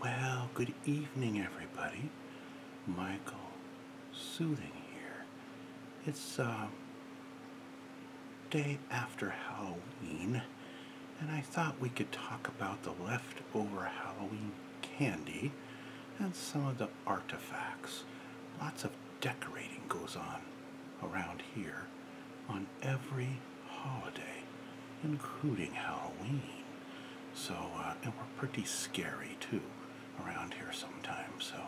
Well, good evening, everybody. Michael Soothing here. It's uh, day after Halloween, and I thought we could talk about the leftover Halloween candy and some of the artifacts. Lots of decorating goes on around here on every holiday, including Halloween. So, uh, and we're pretty scary too around here sometimes. So,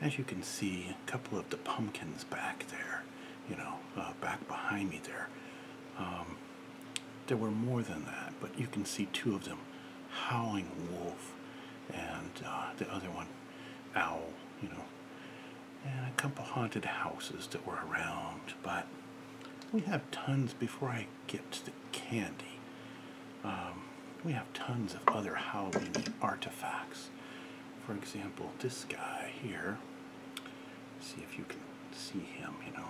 as you can see, a couple of the pumpkins back there, you know, uh, back behind me there. Um, there were more than that, but you can see two of them howling wolf and uh, the other one owl, you know and a couple haunted houses that were around, but we have tons before I get to the candy. Um, we have tons of other Halloween artifacts. For example, this guy here. See if you can see him, you know.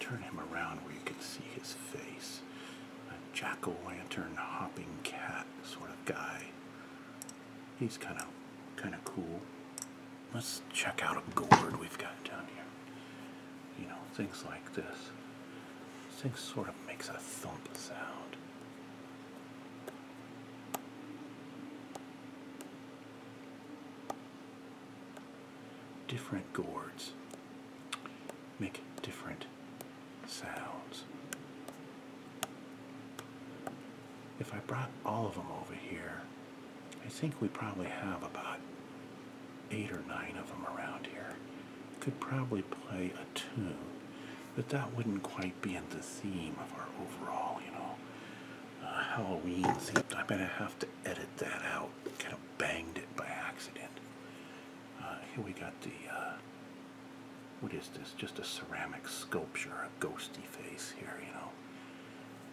Turn him around where you can see his face. A jack-o'-lantern hopping cat sort of guy. He's kind of kind of cool. Let's check out a gourd we've got down here. You know, things like this. This thing sort of makes a thump sound. Different gourds make different sounds. If I brought all of them over here, I think we probably have about eight or nine of them around here. Could probably play a tune, but that wouldn't quite be in the theme of our overall, you know, uh, Halloween theme. I'm going to have to edit that out. Kind of banged it by accident. Uh, here we got the uh, what is this? Just a ceramic sculpture, a ghosty face here, you know.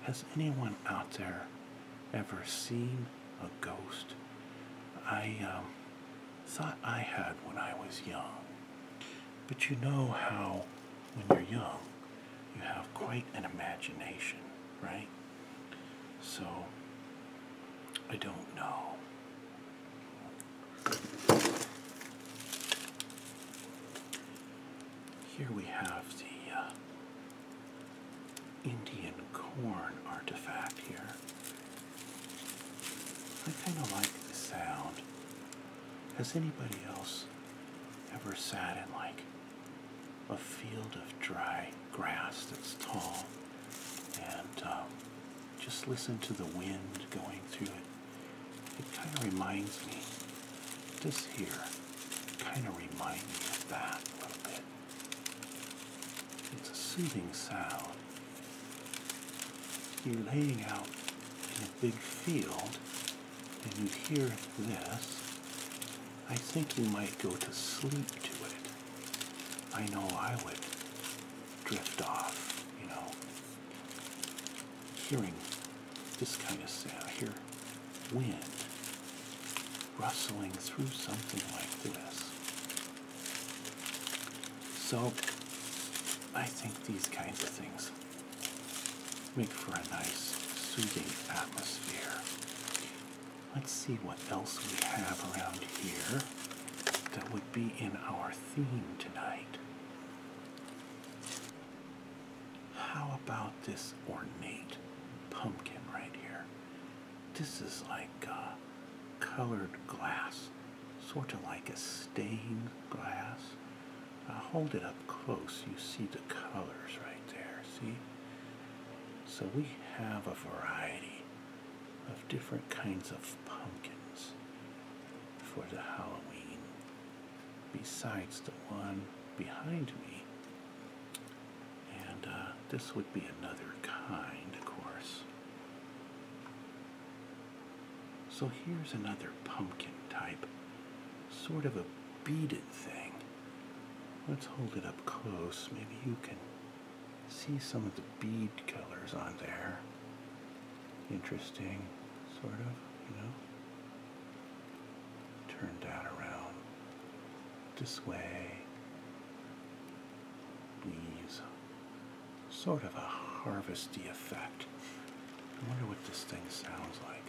Has anyone out there ever seen a ghost? I um, thought I had when I was young. But you know how when you're young, you have quite an imagination, right? So, I don't know. Here we have the uh, Indian corn artifact here. I kind of like the sound. Has anybody else ever sat in like a field of dry grass that's tall and uh, just listen to the wind going through it? It kind of reminds me, this here kind of reminds me of that a little bit. It's a soothing sound. You're laying out in a big field and you hear this. I think you might go to sleep to it. I know I would drift off, you know hearing this kind of sound. I hear wind rustling through something like this. So I think these kinds of things make for a nice soothing atmosphere. Let's see what else we have around here that would be in our theme tonight. How about this ornate pumpkin right here? This is like colored glass, sort of like a stained glass. Uh, hold it up close, you see the colors right there, see? So we have a variety of different kinds of pumpkins for the Halloween, besides the one behind me. And uh, this would be another kind, of course. So here's another pumpkin type, sort of a beaded thing. Let's hold it up close. Maybe you can see some of the bead colors on there interesting, sort of, you know. Turn that around this way. Leaves. Sort of a harvesty effect. I wonder what this thing sounds like.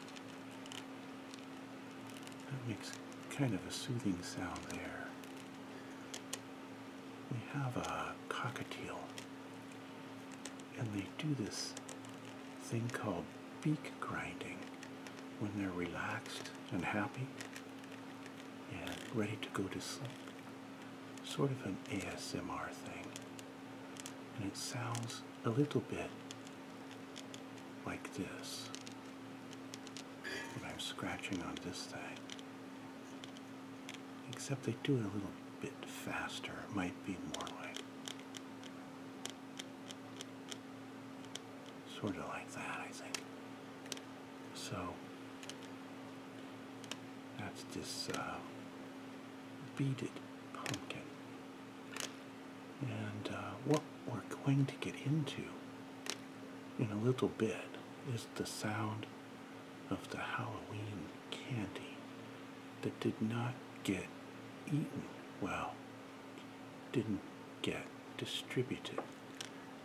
That makes kind of a soothing sound there. We have a cockatiel. And they do this thing called beak grinding when they're relaxed and happy and ready to go to sleep. Sort of an ASMR thing. And it sounds a little bit like this when I'm scratching on this thing. Except they do it a little bit faster. It might be more like sort of like that, I think. So that's just uh, beaded pumpkin. And uh, what we're going to get into in a little bit is the sound of the Halloween candy that did not get eaten well, didn't get distributed.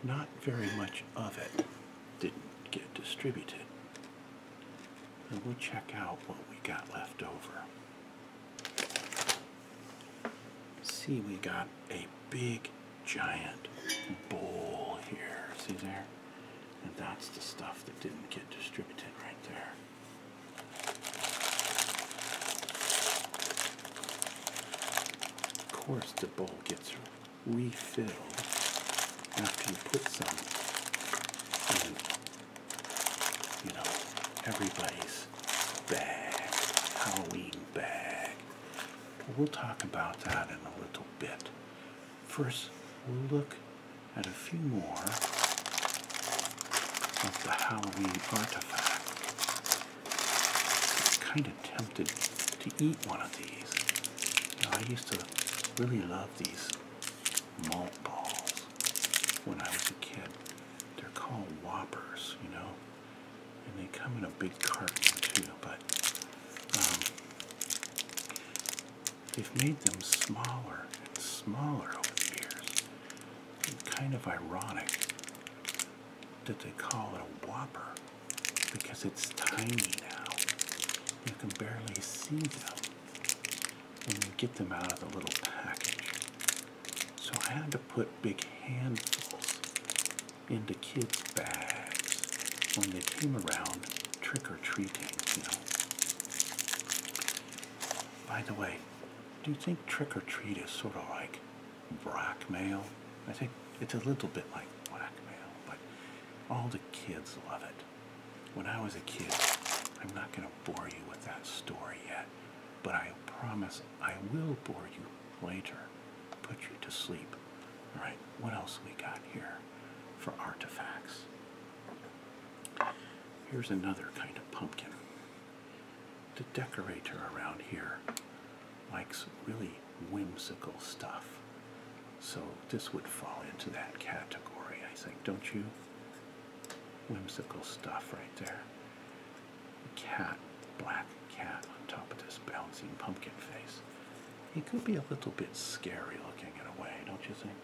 Not very much of it didn't get distributed. And we'll check out what we got left over. See, we got a big giant bowl here. See there? And that's the stuff that didn't get distributed right there. Of course the bowl gets refilled after you put some in, you know, everybody's bag, Halloween bag. We'll talk about that in a little bit. First, we'll look at a few more of the Halloween artifacts. I'm kind of tempted to eat one of these. I used to really love these malt balls when I was a kid. They're called Whoppers, you know, and they come in a big carton too, but um, They've made them smaller and smaller over the years. kind of ironic that they call it a Whopper because it's tiny now. You can barely see them when you get them out of the little package. So I had to put big handfuls into kids' bags when they came around trick or treating, you know. By the way, do you think trick or treat is sort of like blackmail? I think it's a little bit like blackmail, but all the kids love it. When I was a kid, I'm not going to bore you with that story yet, but I promise I will bore you later, put you to sleep. All right, what else we got here? for artifacts. Here's another kind of pumpkin. The decorator around here likes really whimsical stuff. So this would fall into that category, I think, don't you? Whimsical stuff right there. Cat, black cat on top of this bouncing pumpkin face he could be a little bit scary looking in a way, don't you think?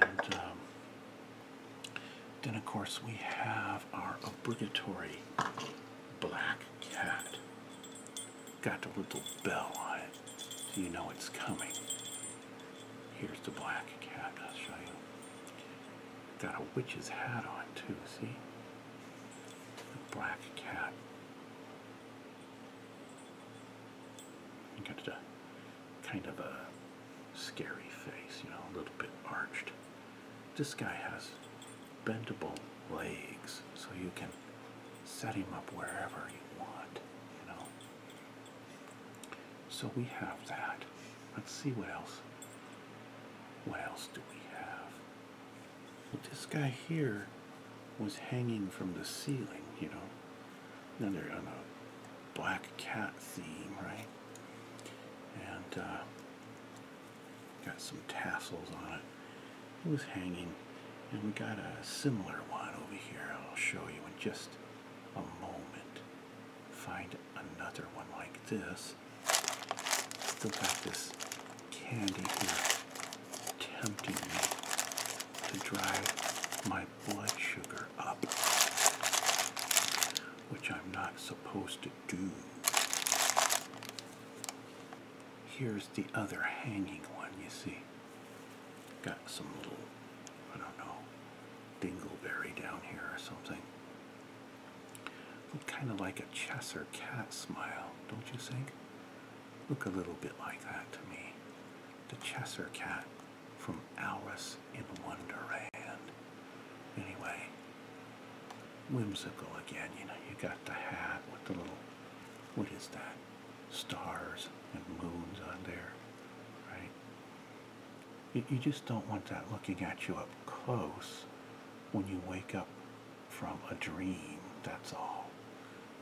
And um, then, of course, we have our obligatory black cat. Got a little bell on it, so you know it's coming. Here's the black cat, I'll show you. Got a witch's hat on, too, see? black cat kind of a scary face, you know, a little bit arched. This guy has bendable legs, so you can set him up wherever you want, you know. So we have that. Let's see what else. What else do we have? this guy here was hanging from the ceiling, you know. Now they're on a black cat theme, right? And uh, got some tassels on it. It was hanging, and we got a similar one over here. I'll show you in just a moment. Find another one like this. Still got this candy here tempting me to drive my blood sugar up, which I'm not supposed to do. Here's the other hanging one, you see. Got some little, I don't know, dingleberry down here or something. Kind of like a Cheshire cat smile, don't you think? look a little bit like that to me. The Cheshire Cat from Alice in Wonderland. Anyway, whimsical again, you know, you got the hat with the little, what is that? Stars and moons on there, right? You, you just don't want that looking at you up close when you wake up from a dream. That's all.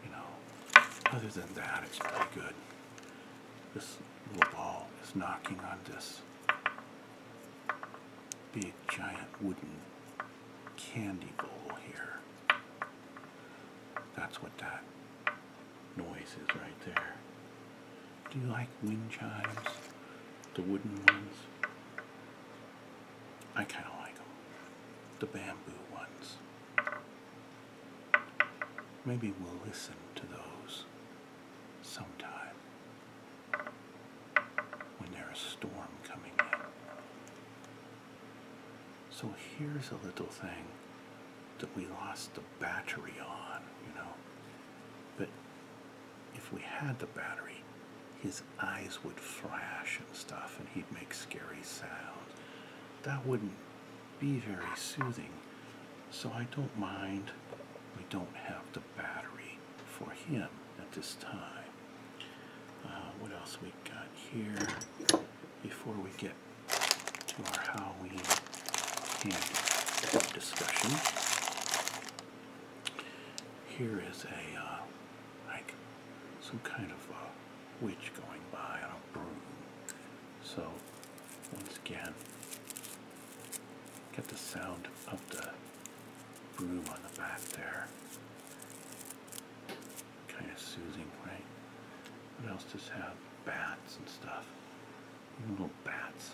You know, other than that, it's pretty good. This little ball is knocking on this big giant wooden candy bowl here. That's what that noise is right there. Do you like wind chimes? The wooden ones? I kind of like them. The bamboo ones. Maybe we'll listen to those sometime when there's a storm coming in. So here's a little thing that we lost the battery on, you know. But if we had the battery, he's eyes would flash and stuff, and he'd make scary sounds. That wouldn't be very soothing, so I don't mind we don't have the battery for him at this time. Uh, what else we got here before we get to our Halloween candy discussion? Here is a uh, like some kind of a uh, witch going by on a broom. So, once again, get the sound of the broom on the back there. Kind of soothing, right? What else does have? Bats and stuff. Little bats.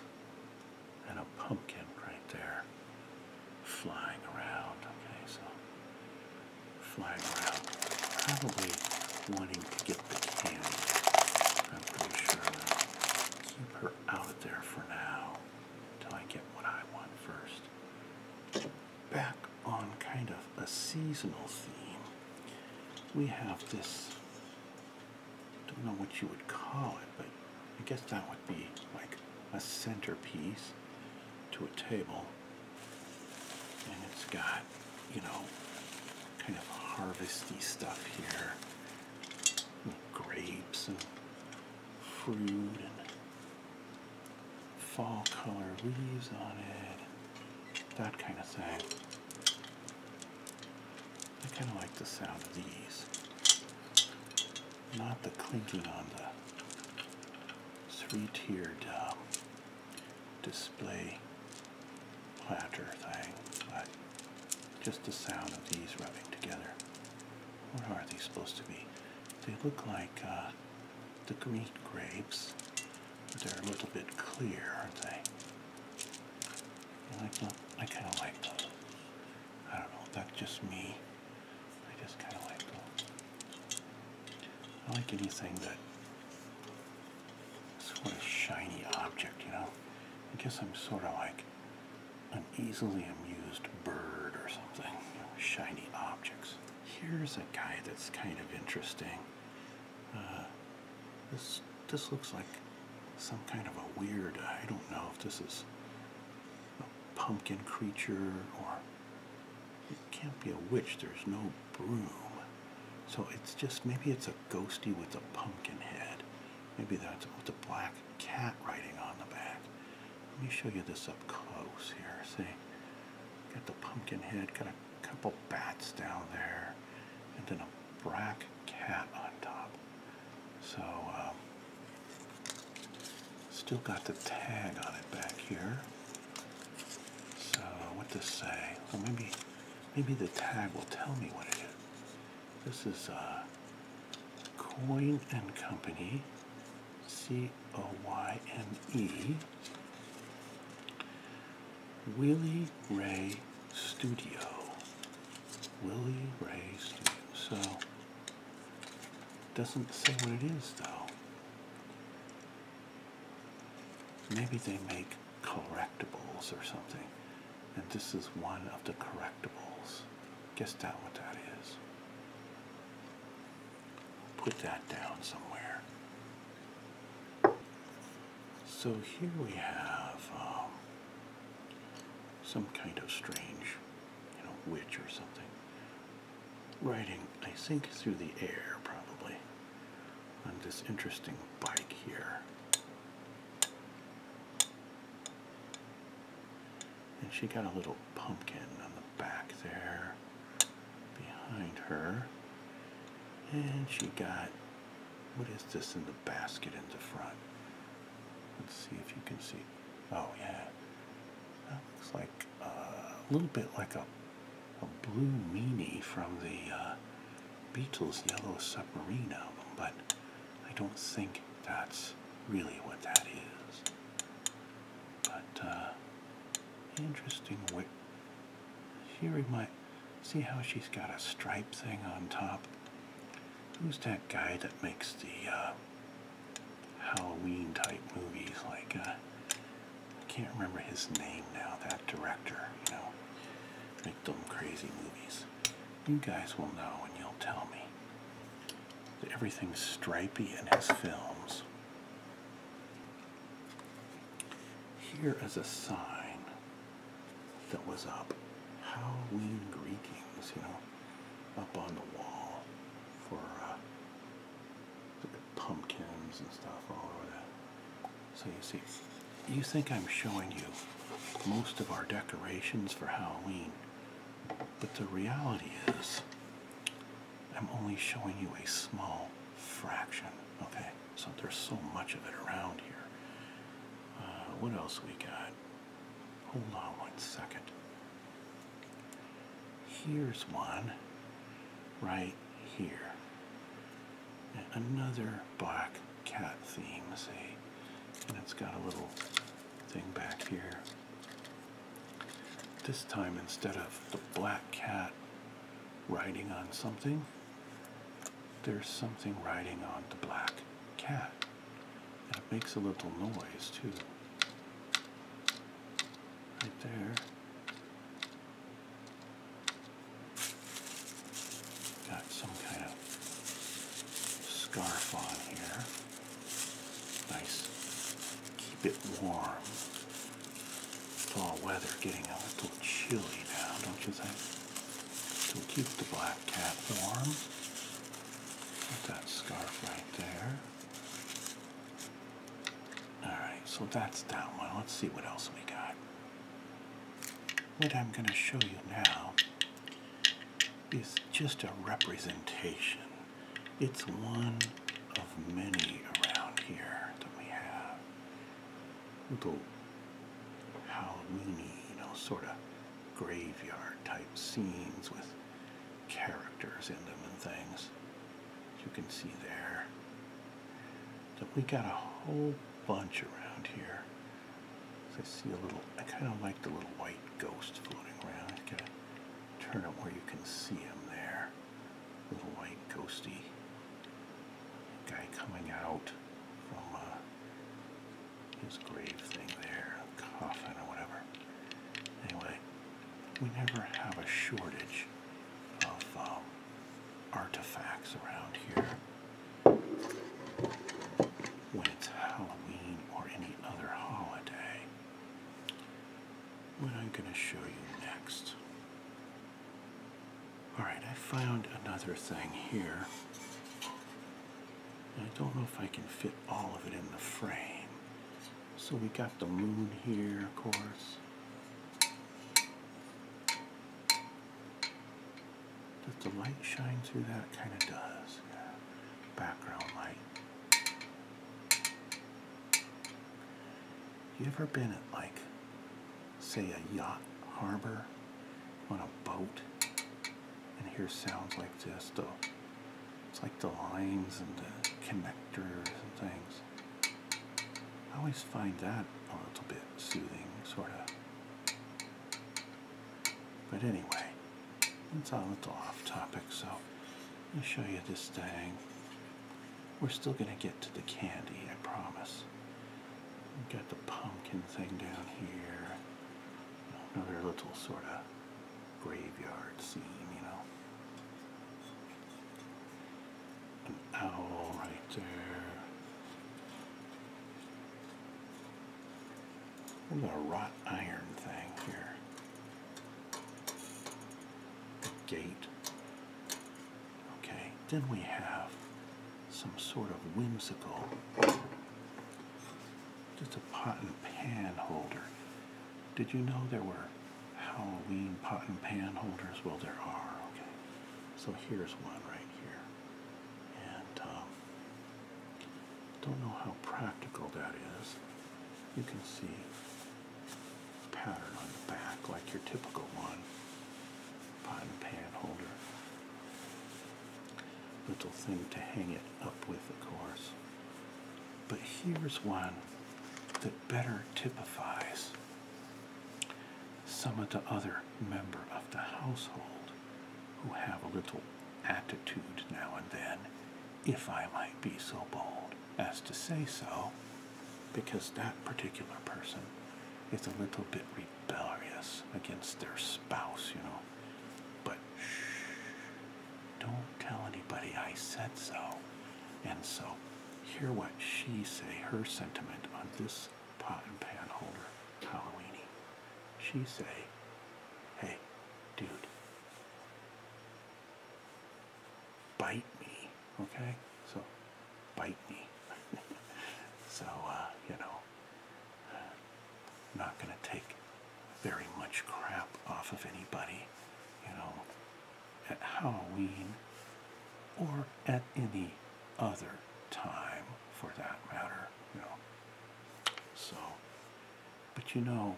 And a pumpkin right there flying around. Okay, so flying around, probably wanting to get the candy. I'm pretty sure I'll keep her out of there for now until I get what I want first. Back on kind of a seasonal theme, we have this. Don't know what you would call it, but I guess that would be like a centerpiece to a table and it's got, you know, kind of harvesty stuff here. grapes and fruit and fall color leaves on it. That kind of thing. I kind of like the sound of these. Not the clinking on the three-tiered um, display platter thing, but just the sound of these rubbing together. What are these supposed to be? They look like uh, the green grapes, but they're a little bit clear, aren't they? I, kind of like those. I don't know, that's just me. I just kind of like I like anything that sort of shiny object, you know. I guess I'm sort of like an easily amused bird or something. shiny objects. Here's a guy that's kind of interesting. Uh, this this looks like some kind of a weird. I don't know if this is a pumpkin creature or it can't be a witch, there's no broom. So it's just, maybe it's a ghosty with a pumpkin head. Maybe that's with a black cat riding on the back. Let me show you this up close here, see? Got the pumpkin head, got a couple bats down there, and then a black cat on top. So, um, Still got the tag on it back here. So what does say? Well, maybe, maybe the tag will tell me what it is. This is a uh, Coin and Company, C O Y N E, Willie Ray Studio. Willie Ray Studio. So doesn't say what it is though. Maybe they make correctables or something. And this is one of the correctables. Guess down what that is. Put that down somewhere. So here we have um, some kind of strange, you know, witch or something riding, I think, through the air probably on this interesting bike here. And she got a little pumpkin on the back there behind her. And she got, what is this in the basket in the front? Let's see if you can see. Oh yeah, that looks like a little bit like a, a blue meanie from the uh, Beatles' Yellow Submarine album, but I don't think that's really what that is. But uh, interesting wick. She might See how she's got a stripe thing on top. Who's that guy that makes the uh, Halloween type movies. Like, uh, I can't remember his name now, that director, you know, make them crazy movies. You guys will know and you'll tell me. That everything's stripy in his films. Here is a sign that was up. Halloween greetings, you know, up on the wall for uh, pumpkins and stuff all over that. So you see, you think I'm showing you most of our decorations for Halloween, but the reality is I'm only showing you a small fraction, okay? So there's so much of it around here. Uh, what else we got? Hold on one second. Here's one right here. Another black cat theme, see? And it's got a little thing back here. This time, instead of the black cat riding on something, there's something riding on the black cat. And it makes a little noise, too right there. Got some kind of scarf on here. Nice. Keep it warm. Fall weather getting a little chilly now, don't you think? So keep the black cat warm. that scarf right there. Alright, so that's that one. Let's see what else we got. What I'm going to show you now is just a representation. It's one of many around here that we have. Little Halloweeny, you know, sort of graveyard type scenes with characters in them and things. you can see there. So we got a whole bunch around here. So I see a little, I kind of like the little white ghost floating around. I gotta turn it where you can see him there. Little white ghosty guy coming out from uh, his grave thing there, coffin or whatever. Anyway, we never have a shortage of um, artifacts around here when it's Halloween or any other holiday. What I'm going to show you next. Alright, I found another thing here. I don't know if I can fit all of it in the frame, so we got the moon here, of course. Does the light shine through that? kind of does. Background light. You ever been at like, say a yacht harbor on a boat and hear sounds like this? The it's like the lines and the connectors and things. I always find that a little bit soothing, sort of. But anyway, it's a little off topic, so I'll show you this thing. We're still going to get to the candy, I promise. We've got the pumpkin thing down here. Another little sort of graveyard scene, you know. An owl right there. Look a wrought iron thing here. A gate. Okay, then we have some sort of whimsical just a pot and pan holder. Did you know there were Halloween pot and pan holders. Well, there are. Okay. So here's one right here. And um, don't know how practical that is. You can see pattern on the back like your typical one. Pot and pan holder. Little thing to hang it up with, of course. But here's one that better typifies some of the other member of the household who have a little attitude now and then, if I might be so bold as to say so, because that particular person is a little bit rebellious against their spouse, you know. But shh, don't tell anybody I said so. And so, hear what she say, her sentiment on this pot and pan holder, Halloweeny. She say, hey, dude, bite me, okay? So, bite me. so, uh, you know, not going to take very much crap off of anybody, you know, at Halloween or at any other time for that matter, you know. So, but you know,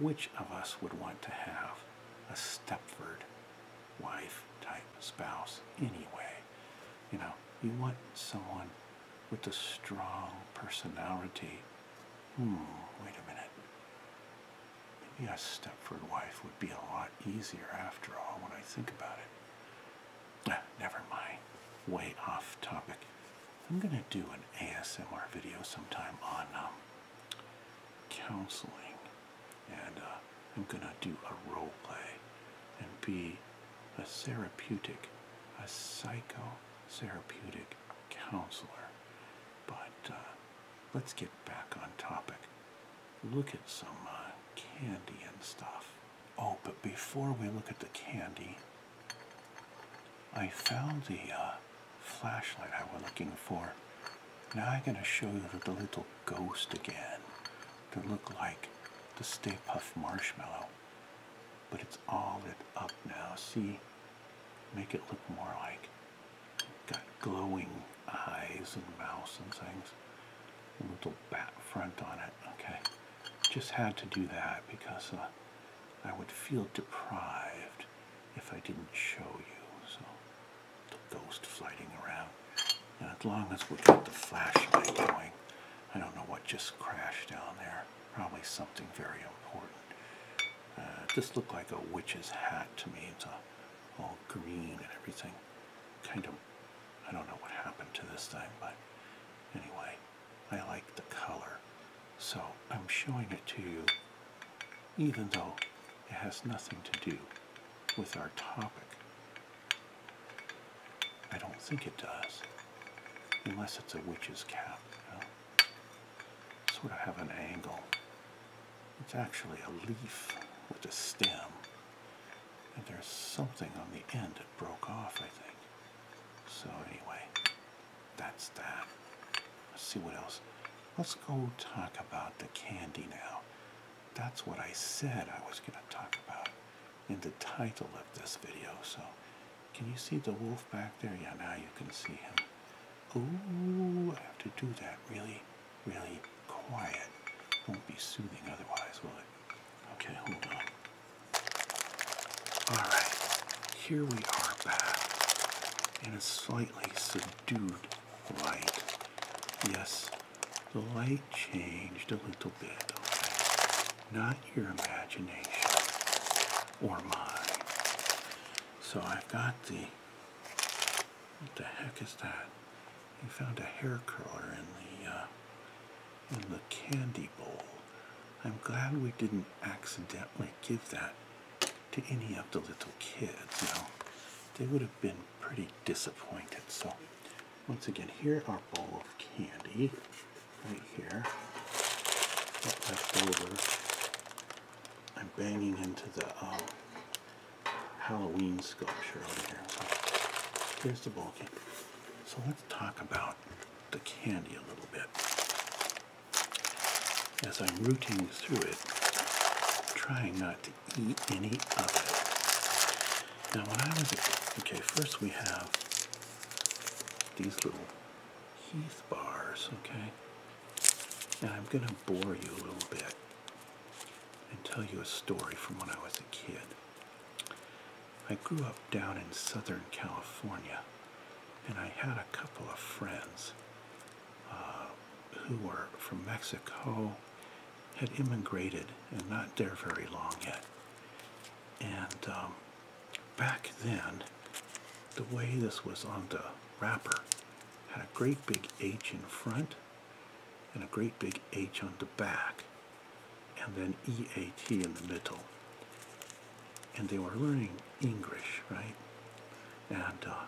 which of us would want to have a Stepford wife type spouse anyway? You know, you want someone with a strong personality Hmm, wait a minute. Maybe a Stepford wife would be a lot easier after all when I think about it. Ah, never mind. Way off topic. I'm going to do an ASMR video sometime on um, counseling. And uh, I'm going to do a role play and be a therapeutic, a psychotherapeutic counselor. But uh, let's get back on topic. Look at some uh, candy and stuff. Oh, but before we look at the candy, I found the uh, flashlight I was looking for. Now I'm going to show you the, little ghost again that look like the Stay Puff Marshmallow. But it's all lit up now. See, make it look more like got glowing eyes and mouth and things. A little bat front on it. Okay, just had to do that because uh, I would feel deprived if I didn't show you. So the ghost flying around. And as long as we keep the flashlight going, I don't know what just crashed down there. Probably something very important. Uh, it just looked like a witch's hat to me. It's all, green and everything. Kind of, I don't know what happened to this thing, but anyway, I like the color. So I'm showing it to you, even though it has nothing to do with our topic. I don't think it does, unless it's a witch's cap sort of have an angle. It's actually a leaf with a stem. And there's something on the end that broke off, I think. So anyway, that's that. Let's see what else. Let's go talk about the candy now. That's what I said I was going to talk about in the title of this video. So can you see the wolf back there? Yeah, now you can see him. Ooh, I have to do that really, really quiet. Won't be soothing otherwise, will it? Okay, hold on. Alright, here we are back in a slightly subdued light. Yes, the light changed a little bit, Not your imagination or mine. So I've got the, what the heck is that? He found a hair curler in the, uh, in the candy bowl. I'm glad we didn't accidentally give that to any of the little kids. You know, they would have been pretty disappointed. So once again, here our bowl of candy right here. That left over I'm banging into the um, Halloween sculpture over here. So here's the bulky. So let's talk about the candy a little bit. As I'm rooting through it, trying not to eat any of it. Now when I was okay, first we have these little Heath bars, okay? Now I'm going to bore you a little bit and tell you a story from when I was a kid. I grew up down in Southern California and I had a couple of friends uh, who were from Mexico, had immigrated and not there very long yet. And um, back then, the way this was on the wrapper had a great big H in front and a great big H on the back, and then EAT in the middle. And they were learning English, right? And uh,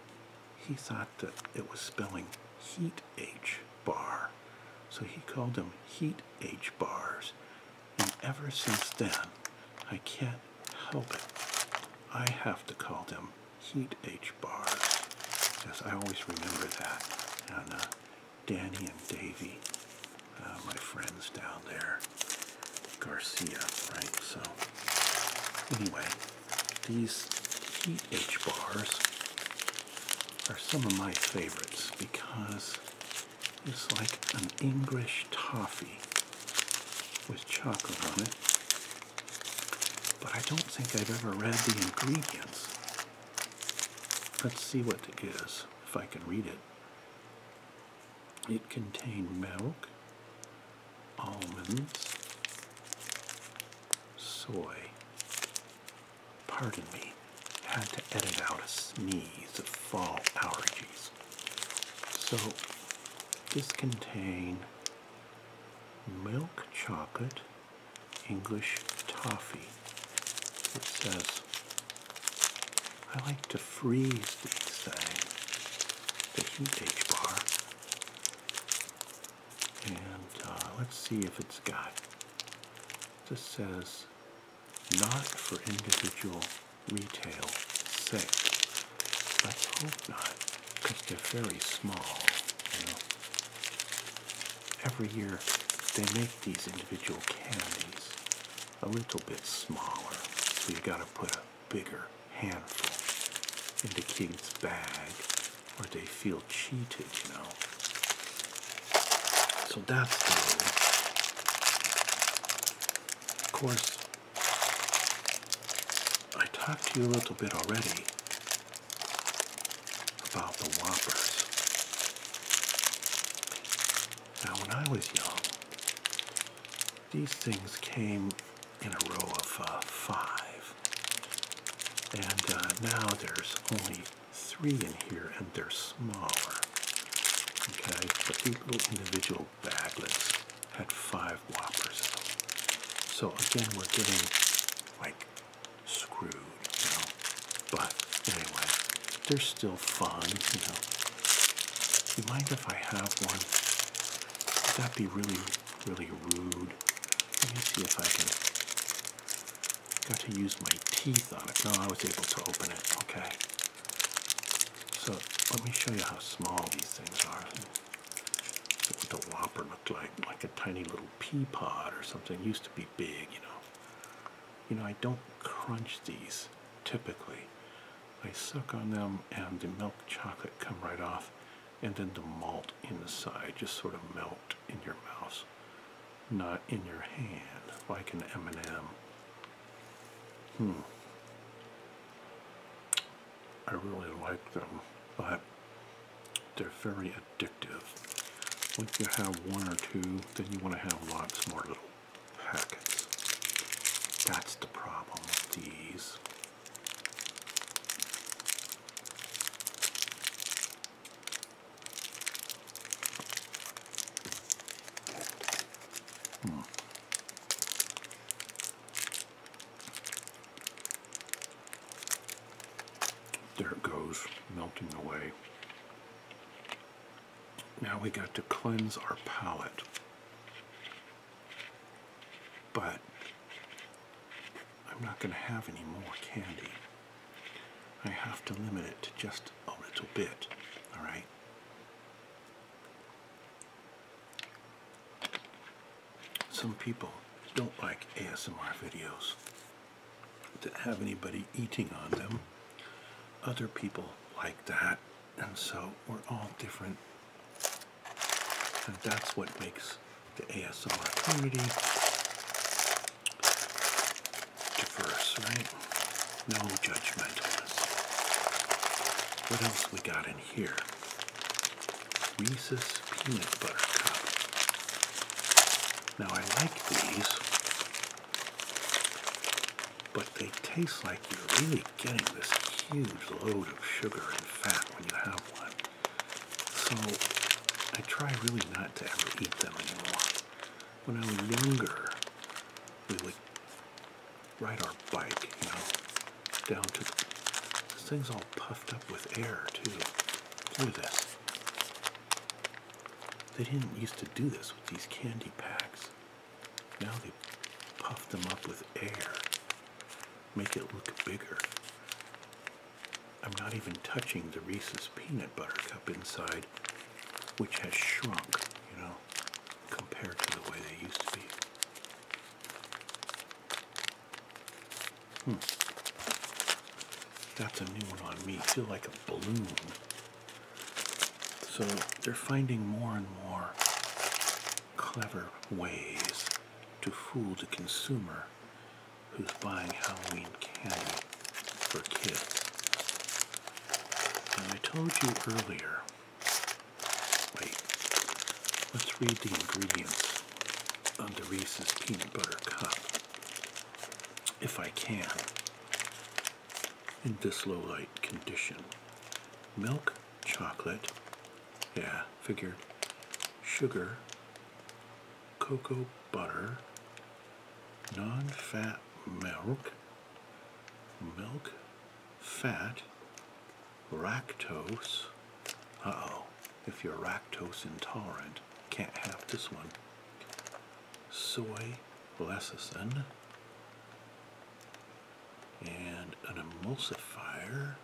he thought that it was spelling heat H bar. So he called them heat H bars and ever since then, I can't help it. I have to call them Heat H bars, because I always remember that. And uh, Danny and Davy, uh, my friends down there, Garcia, right? So, anyway, these Heat H bars are some of my favorites because it's like an English toffee with chocolate on it. But I don't think I've ever read the ingredients. Let's see what it is, if I can read it. It contained milk, almonds, soy. Pardon me, had to edit out a sneeze of fall allergies. So this contains milk chocolate English toffee. It says, I like to freeze these things, the heat H bar. And uh, let's see if it's got. This says, not for individual retail sales. Let's hope not, because they're very small. You know. Every year they make these individual candies a little bit smaller, so you gotta put a bigger handful into King's bag, or they feel cheated, you know. So that's the. Of course, I talked to you a little bit already about the Whoppers. Now, when I was young, these things came in a row of uh, five. And uh, now there's only three in here and they're smaller. Okay, but these little individual Coke baglets had five whoppers in them. So again, we're getting like screwed, you know. But anyway, they're still fun, you know. You mind if I have one? Would that be really, really rude? Let me see if I can. Got to use my teeth on it. No, I was able to open it. Okay. So let me show you how small these things are. So what the whopper looked like, like a tiny little pea pod or something. used to be big, you know. You know, I don't crunch these typically. I suck on them and the milk chocolate come right off and then the malt inside just sort of melt in your mouth, not in your hand, like an M&M. Hmm. I really like them, but they're very addictive. Once you have one or two, then you want to have lots more little packets. That's the problem with these. Hmm. There it goes, melting away. Now we got to cleanse our palate. But I'm not going to have any more candy. I have to limit it to just a little bit, all right? Some people don't like ASMR videos that have anybody eating on them. Other people like that, and so we're all different. And that's what makes the ASMR community diverse, right? No judgmentalness. What else we got in here? Reese's Peanut Butter Cup. Now I like these, but they taste like you're really getting this huge load of sugar and fat when you have one. So I try really not to ever eat them anymore. When I was younger, we would ride our bike, you know, down to this thing's all puffed up with air too. Look at this. They didn't used to do this with these candy packs. Now they puff them up with air, make it look bigger. I'm not even touching the Reese's peanut butter cup inside, which has shrunk, you know compared to the way they used to be. Hmm. That's a new one on me. Feel like a balloon. So they're finding more and more clever ways to fool the consumer who's buying Halloween candy for kids. And I told you earlier Wait, let's read the ingredients on the Reese's Peanut Butter Cup, if I can, in this low light condition. Milk, chocolate, yeah, figured, sugar, cocoa butter, non fat milk, milk fat, lactose. Uh oh, if you're lactose intolerant, can't have this one. Soy lecithin and an emulsifier,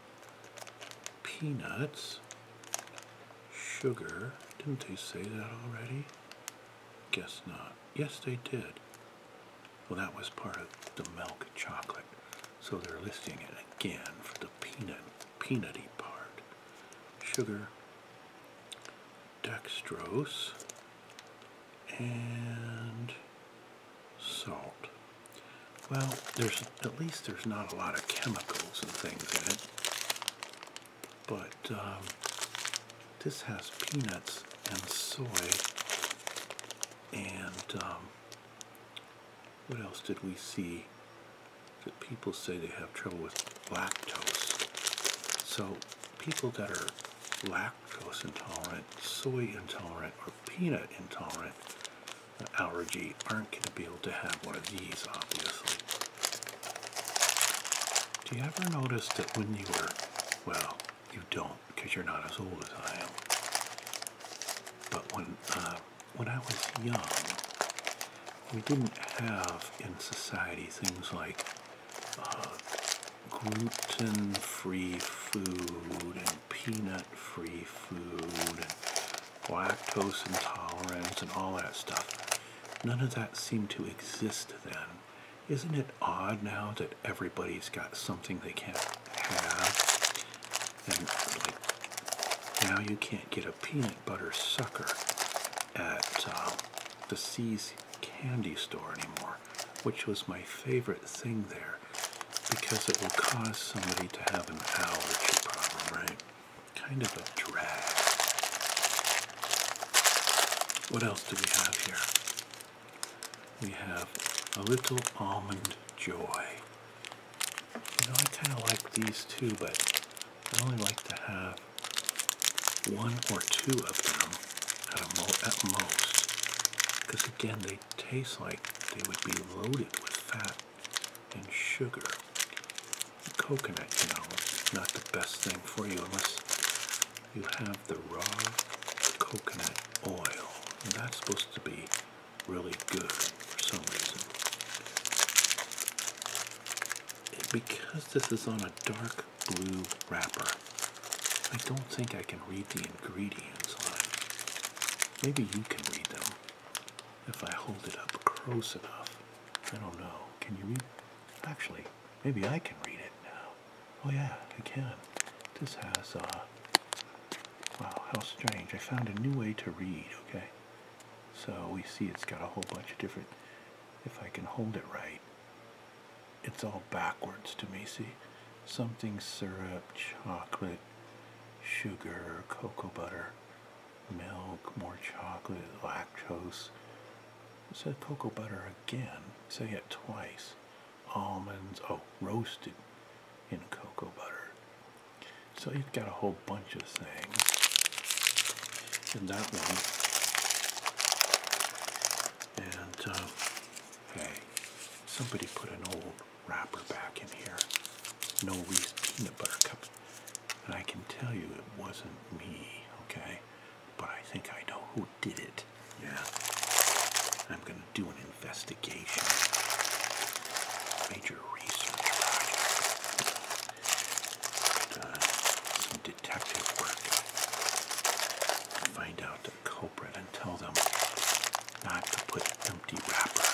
peanuts, sugar. Didn't they say that already? Guess not. Yes, they did. Well, that was part of the milk chocolate. So they're listing it again for the peanut, peanutty part. Sugar, dextrose, and salt. Well, there's at least there's not a lot of chemicals and things in it, but um, this has peanuts and soy. And um, what else did we see that people say they have trouble with lactose? So people that are lactose intolerant, soy intolerant, or peanut intolerant allergy aren't going to be able to have one of these, obviously. Do you ever notice that when you were, well, you don't because you're not as old as I am. But when uh, when I was young, we didn't have in society things like uh, gluten-free food and peanut-free food and lactose intolerance and all that stuff. None of that seemed to exist then. Isn't it odd now that everybody's got something they can't have? And now you can't get a peanut butter sucker at uh, the C's candy store anymore, which was my favorite thing there because it will cause somebody to have an allergy problem, right? Kind of a drag. What else do we have here? we have a little almond joy. You know, I kind of like these too, but I only like to have one or two of them at, mo at most, because again, they taste like they would be loaded with fat and sugar. Coconut, you know, not the best thing for you unless you have the raw coconut oil. And that's supposed to be really good for some reason. Because this is on a dark blue wrapper, I don't think I can read the ingredients on it. Maybe you can read them if I hold it up close enough. I don't know. Can you read? Actually, maybe I can read it now. Oh yeah, I can. This has, uh, wow, how strange. I found a new way to read, okay? So we see it's got a whole bunch of different, if I can hold it right, it's all backwards to me, see? Something syrup, chocolate, sugar, cocoa butter, milk, more chocolate, lactose. It said cocoa butter again, say it twice almonds, oh, roasted in cocoa butter. So you've got a whole bunch of things in that one. And, um, hey, somebody put an old wrapper back in here. No Reese peanut butter cups. And I can tell you it wasn't me, okay? but I think I know who did it. Yeah. I'm going to do an investigation. Major research uh, some detective work. Find out the culprit and tell them not to put empty wrapper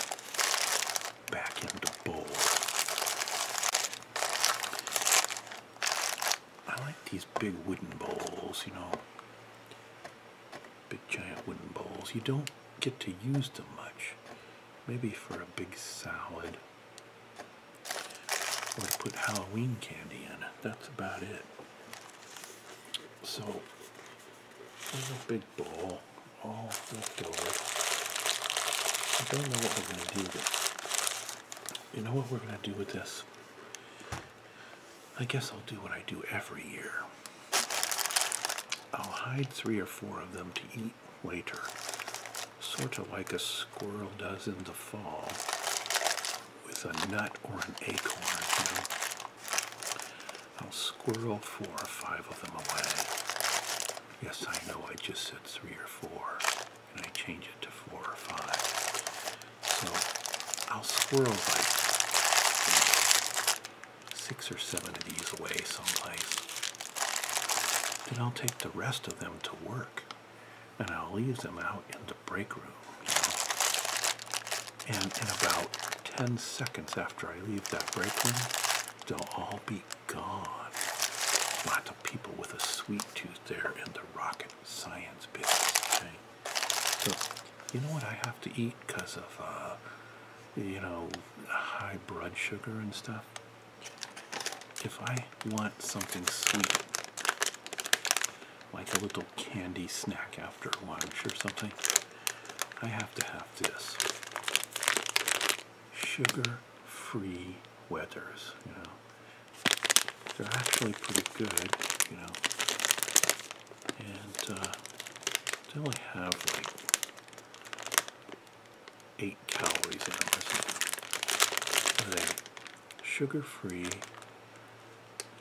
back into the bowl. I like these big wooden bowls, you know. Big giant wooden bowls. You don't get to use them much. Maybe for a big salad. Or to put Halloween candy in. That's about it. So, there's a big bowl. All left over. I don't know what we're going to do with it. You know what we're going to do with this? I guess I'll do what I do every year. I'll hide three or four of them to eat later, sort of like a squirrel does in the fall with a nut or an acorn, I'll squirrel four or five of them away. Yes, I know I just said three or four and I change it to four or five. So I'll squirrel like six or seven of these away someplace. Then I'll take the rest of them to work and I'll leave them out in the break room. And in about 10 seconds after I leave that break room, they'll all be gone. Lots of people with a sweet tooth there in the rocket science business. So, you know what I have to eat because of, uh, you know, high blood sugar and stuff? If I want something sweet, like a little candy snack after lunch or something, I have to have this sugar free wethers. They're actually pretty good, you know. And uh, they only have like eight calories in them or something. Are sugar-free?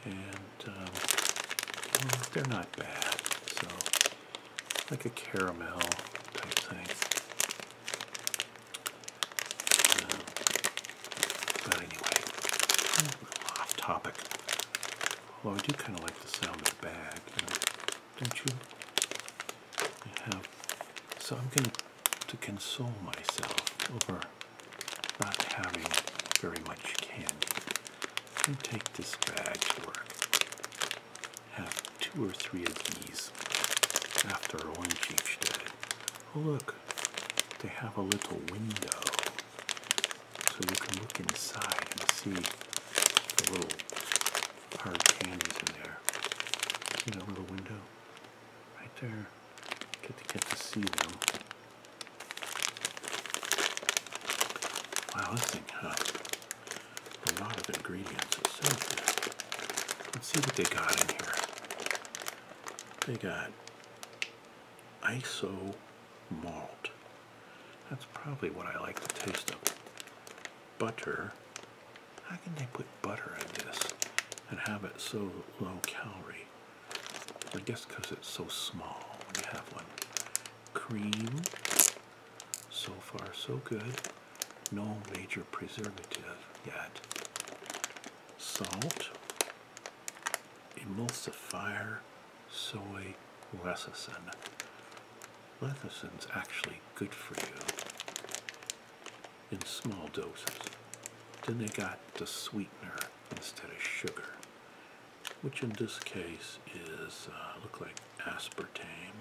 And um, they're not bad. So like a caramel type thing. Uh, but anyway, off topic. Although I do kind of like the sound of the bag, don't you? so I'm going to console myself over not having very much candy. And take this bag to work. Have two or three of these after one chief's day. Oh look, they have a little window so you can look inside and see the little hard candies in there. See that little window? Right there. Get to get to see them. Wow, this thing has a lot of ingredients. It's so good. Let's see what they got in here. They got iso malt. That's probably what I like the taste of. Butter. How can they put butter in this and have it so low calorie? I guess because it's so small. We have one. Cream. So far, so good. No major preservative yet salt, emulsifier, soy lecithin. Leithin's actually good for you in small doses. Then they got the sweetener instead of sugar, which in this case is uh, look like aspartame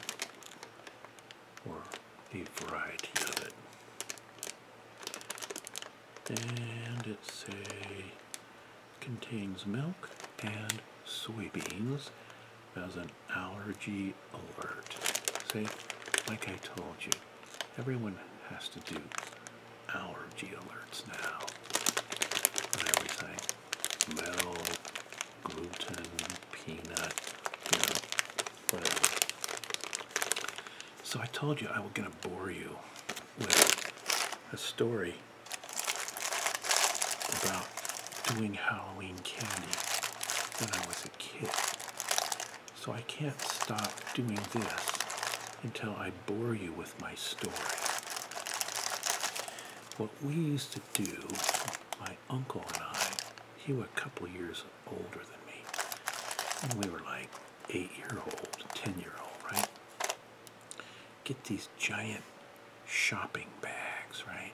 or a variety of it and it say contains milk and soybeans as an allergy alert. See, like I told you, everyone has to do allergy alerts now. And everything, milk, gluten, peanut, whatever. So I told you I was going to bore you with a story about doing Halloween candy when I was a kid. So I can't stop doing this until I bore you with my story. What we used to do, my uncle and I, he was a couple years older than me. And we were like eight year old, ten year old, right? Get these giant shopping bags, right?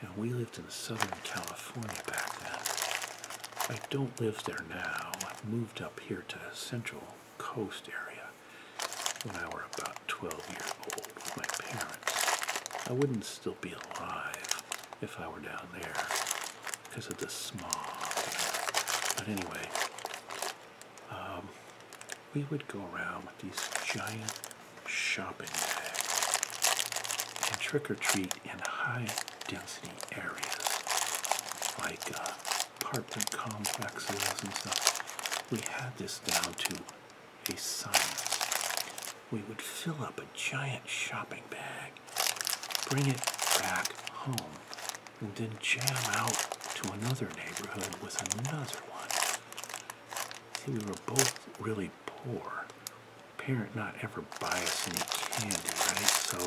And we lived in Southern California back then. I don't live there now. I moved up here to Central Coast area when I were about 12 years old with my parents. I wouldn't still be alive if I were down there because of the smog. But anyway, um, we would go around with these giant shopping bags and trick or treat in high density areas like uh, apartment complexes and stuff. We had this down to a science. We would fill up a giant shopping bag bring it back home, and then jam out to another neighborhood with another one. See, we were both really poor. Parent not ever buy us any candy, right? So,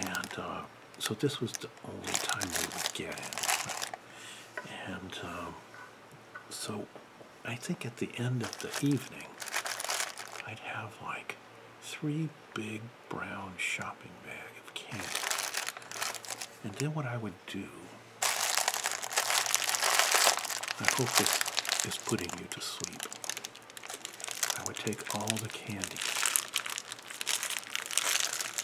and uh, so this was the only time we would get it. And um, so I think at the end of the evening, I'd have like three big brown shopping bags of candy. And then what I would do, I hope this is putting you to sleep. I would take all the candy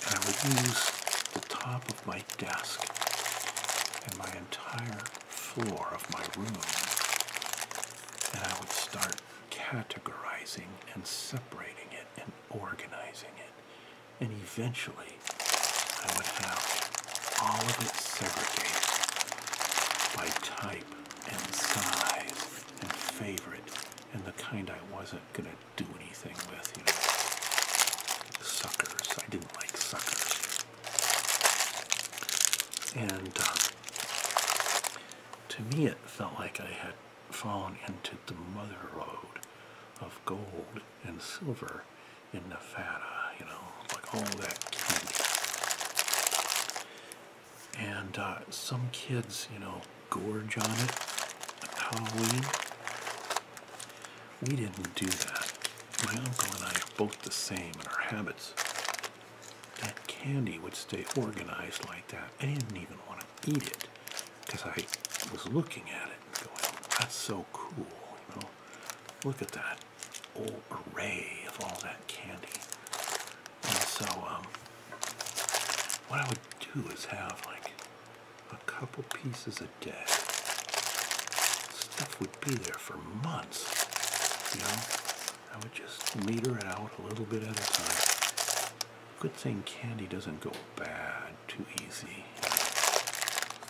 and I would use the top of my desk and my entire floor of my room and I would start categorizing and separating it and organizing it. And eventually, I would have all of it segregated by type and size and favorite and the kind I wasn't going to do anything with, you know. Suckers. I didn't like suckers. And uh, to me, it felt like I had fallen into the mother lode of gold and silver in Nevada, you know, like all that candy. And uh, some kids, you know, gorge on it at Halloween. We didn't do that. My uncle and I are both the same in our habits that candy would stay organized like that. I didn't even want to eat it because I was looking at it and going, that's so cool, you know. Look at that whole array of all that candy. And so, um, what I would do is have like a couple pieces a day. Stuff would be there for months, you know. I would just meter it out a little bit at a time. Good thing candy doesn't go bad too easy.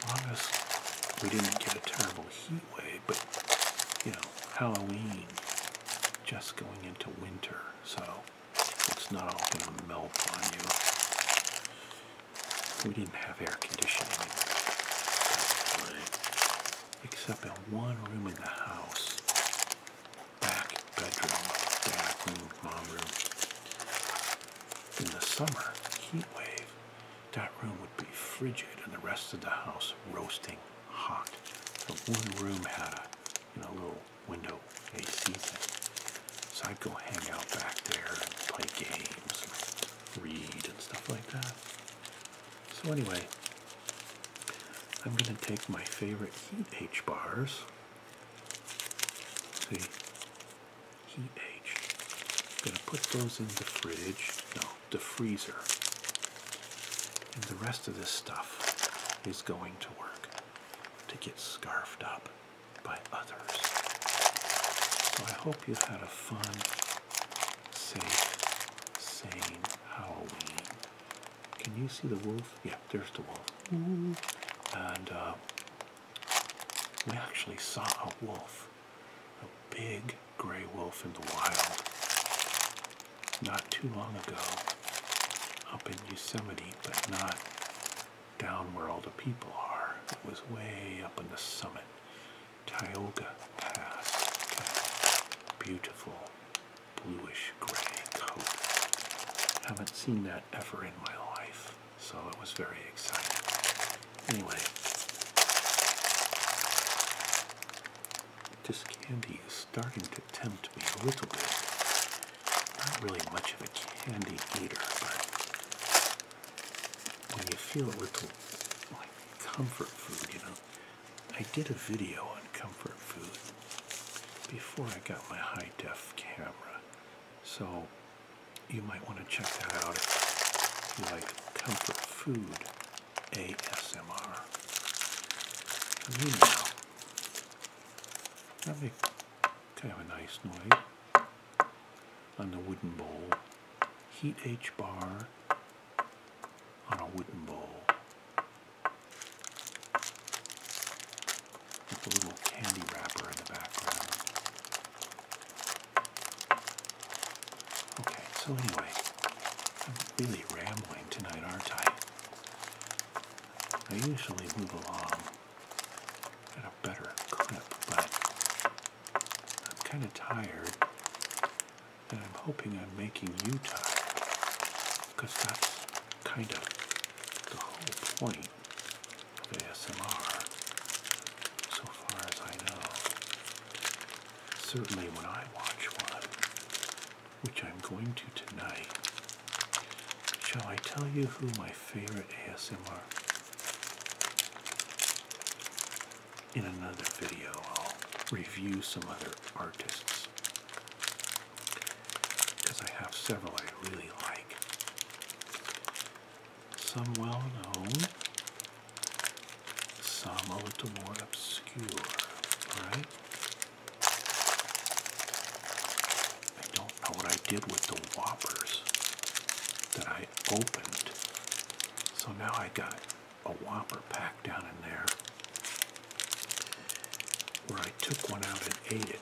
long as we didn't get a terrible heat wave, but you know, Halloween just going into winter, so it's not all going to melt on you. We didn't have air conditioning except in one room in the house. Back bedroom, back mom room. In the summer heat wave, that room would be frigid and the rest of the house roasting hot. So one room had a you know, little window AC thing. So I'd go hang out back there and play games and read and stuff like that. So anyway, I'm going to take my favorite heat H bars. See, heat H. I'm going to put those in the fridge, no, the freezer. And the rest of this stuff is going to work to get scarfed up by others. So I hope you had a fun Safe, sane Halloween. Can you see the wolf? Yep, there's the wolf. And uh, we actually saw a wolf, a big gray wolf in the wild, not too long ago, up in Yosemite, but not down where all the people are. It was way up on the summit. Tioga Pass. Beautiful bluish gray coat. Haven't seen that ever in my life, so it was very exciting. Anyway, this candy is starting to tempt me a little bit. Not really much of a candy eater, but when you feel a little like comfort food, you know, I did a video on comfort food before I got my high def camera, so you might want to check that out if you like comfort food ASMR. Meanwhile, that makes kind of a nice noise on the wooden bowl. Heat H bar on a wooden bowl with a little candy wrapper in the background. Okay, so anyway, I'm really rambling tonight, aren't I? I usually move along at a better clip, but I'm kind of tired and I'm hoping I'm making you tired because that's kind of the whole point of ASMR so far as I know. Certainly when I watch one, which I'm going to tonight, shall I tell you who my favorite ASMR in another video, I'll review some other artists because I have several I really like. Some well known, some a little more obscure, alright? I don't know what I did with the whoppers that I opened. So now I got a whopper pack down in there where I took one out and ate it.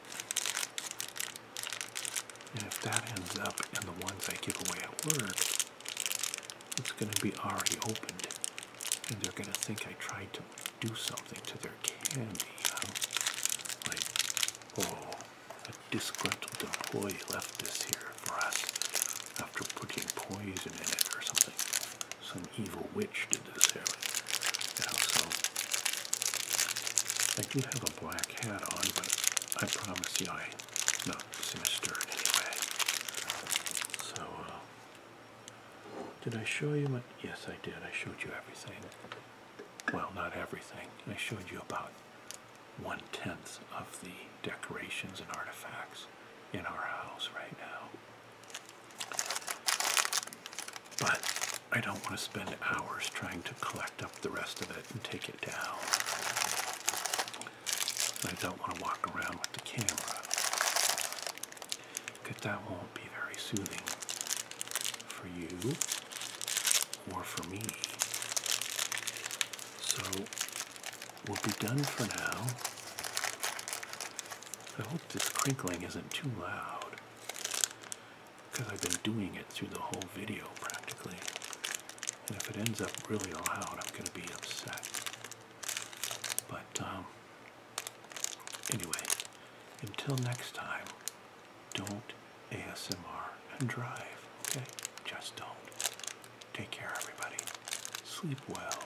And if that ends up in the ones I give away at work, it's going to be already opened. And they're going to think I tried to do something to their candy. oh, a disgruntled employee left this here. For us, after putting poison in it or something. Some evil witch did this, you know, I do have a black hat on, but I promise you I'm not sinister in any way. So, uh, did I show you yes I did, I showed you everything. Well, not everything. I showed you about one-tenth of the decorations and artifacts in our house right now. But I don't want to spend hours trying to collect up the rest of it and take it down. I don't want to walk around with the camera because that won't be very soothing for you or for me. So will be done for now. I hope this crinkling isn't too loud because I've been doing it through the whole video practically. And if it ends up really loud, I'm going to be upset. But um, anyway, until next time, don't ASMR and drive, okay? Just don't. Take care, everybody. Sleep well.